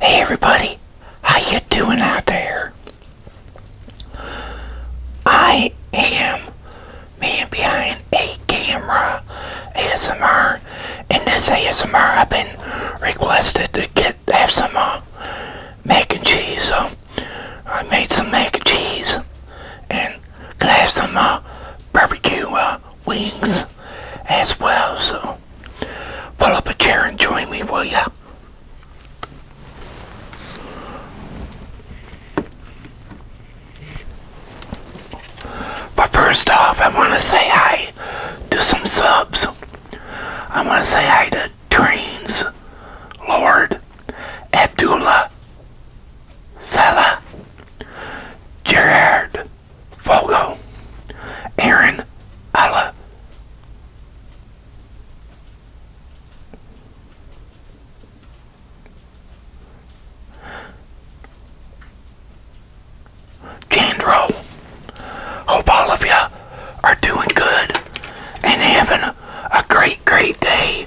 Hey everybody, how you doing out there? I am man behind a camera ASMR and this ASMR I've been requested to get have some uh, mac and cheese so um, I made some mac and cheese and gonna have some uh, barbecue uh, wings as well so Pull up a chair and join me, will ya? But first off, I want to say hi to some subs. I want to say hi to Dreams, Lord, Abdullah, Salah, Gerard, Fogo, Aaron Alla. Chandro, hope all of you are doing good and having a great, great day.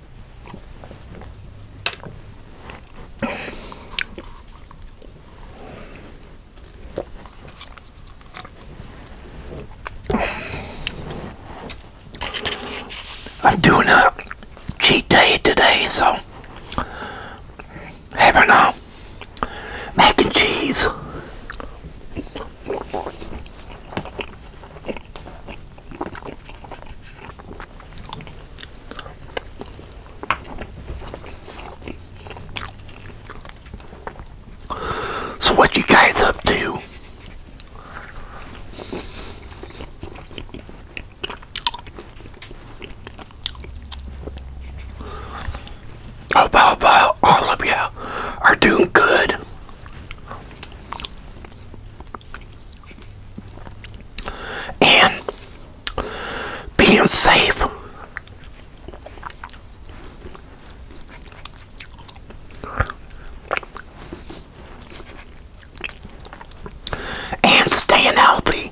I'm doing a cheat day today, so having a mac and cheese. So what you guys up to? Hope, hope, hope all of you are doing good and being safe. And staying healthy.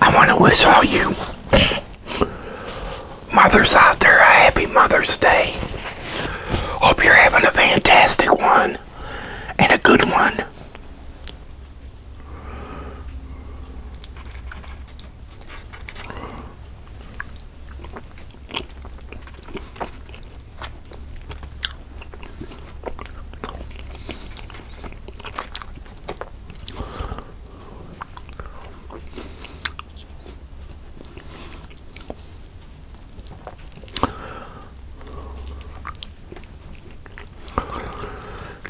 I want to wish all you mothers out there a happy Mother's Day. Hope you're having a fantastic one and a good one.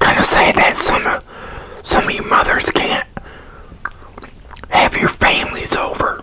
Gonna say that some some of you mothers can't have your families over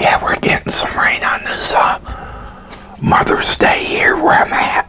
Yeah, we're getting some rain on this uh, Mother's Day here where I'm at.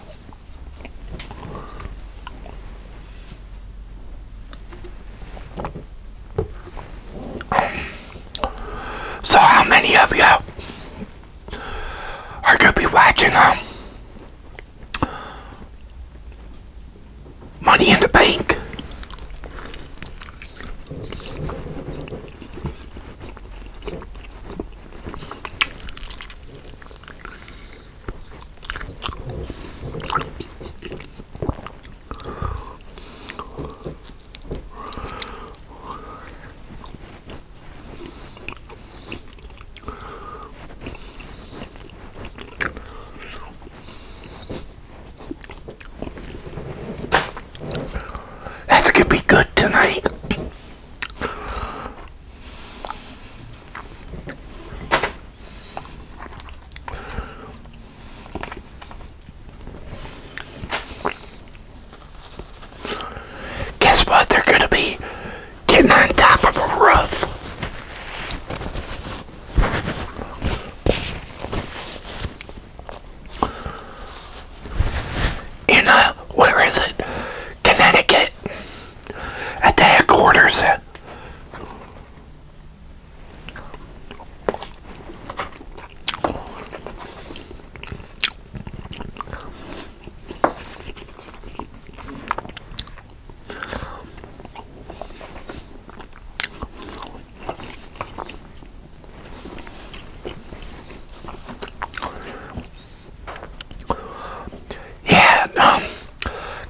So how many of you are going to be watching um, Money in the Bank? That's gonna be good tonight. Guess what? They're going to be getting on top of a roof in a, where is it? Connecticut at the headquarters. Yeah, um,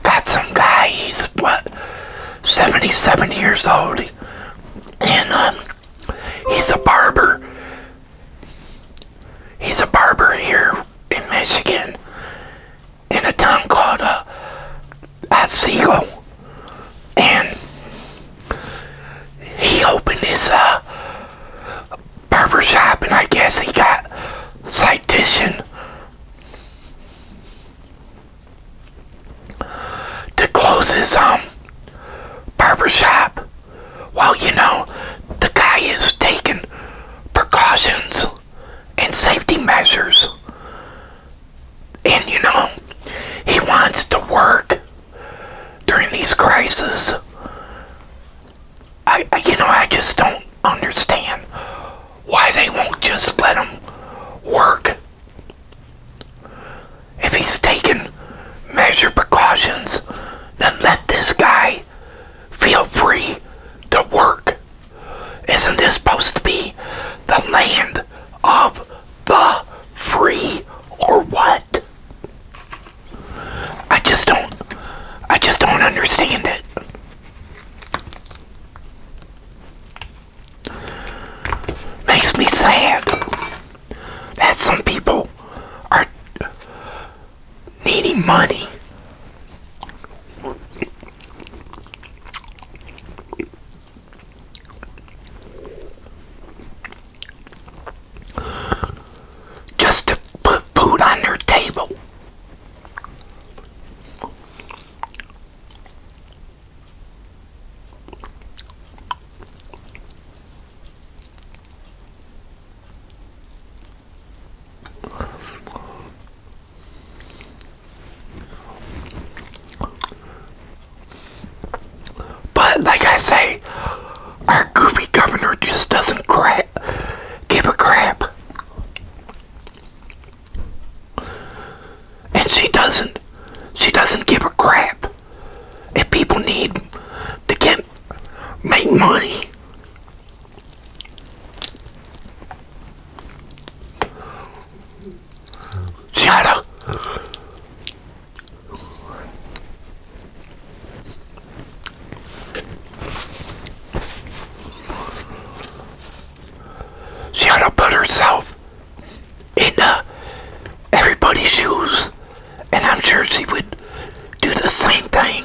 got some guy, he's what, 77 years old, and um, he's a barber. He's a barber here in Michigan, in a town called uh, Otsego. And he opened his uh, barber shop, and I guess he got citation to close his um barber shop. Well, you know, the guy is taking precautions and safety measures. And you know, he wants to work during these crises. I, you know, I just don't understand why they won't just let him work. If he's taken measure precautions, then let this guy feel free to work. Isn't this supposed to be the land of the free or what? I just don't I just don't understand it. Makes me sad that some people are needing money just to put food on their table. But like I say, our goofy governor just doesn't crap, give a crap. And she doesn't. She doesn't give a crap. If people need to get make money. She she ought to put herself in uh, everybody's shoes, and I'm sure she would do the same thing.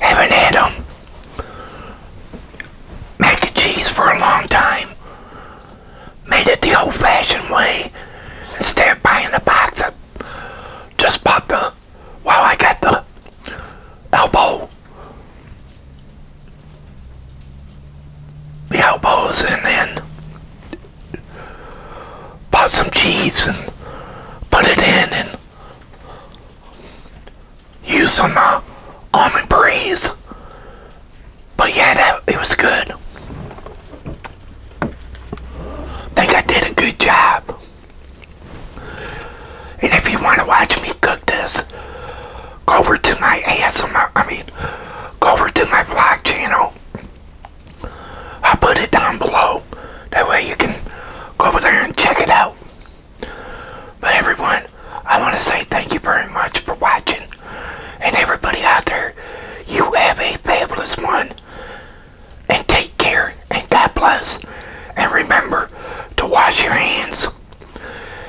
Haven't had Mac and cheese for a long time. Made it the old-fashioned way instead of buying a box. of. just bought the while I got the elbow. The elbows and then bought some cheese and put it in and used some almond breeze. But yeah, that, it was good. think I did a good job. And if you want to watch me cook this, go over to my ASMR, I mean, go over to my vlog channel. i put it down below. That way you can go over there and check it out. But everyone, I want to say thank you very much for watching. And everybody out there, you have a fabulous one. And take care. And God bless. And remember to wash your hands.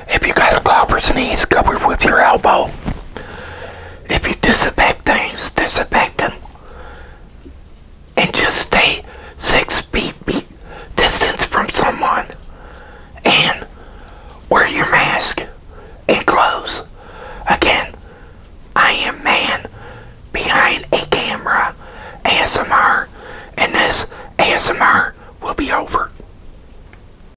If you got a golfer's sneeze, covered with your elbow. If you disinfect things, disinfect them. And just stay six feet distance from someone. And wear your mask and gloves. Again, I am man behind a camera ASMR. And this ASMR will be over.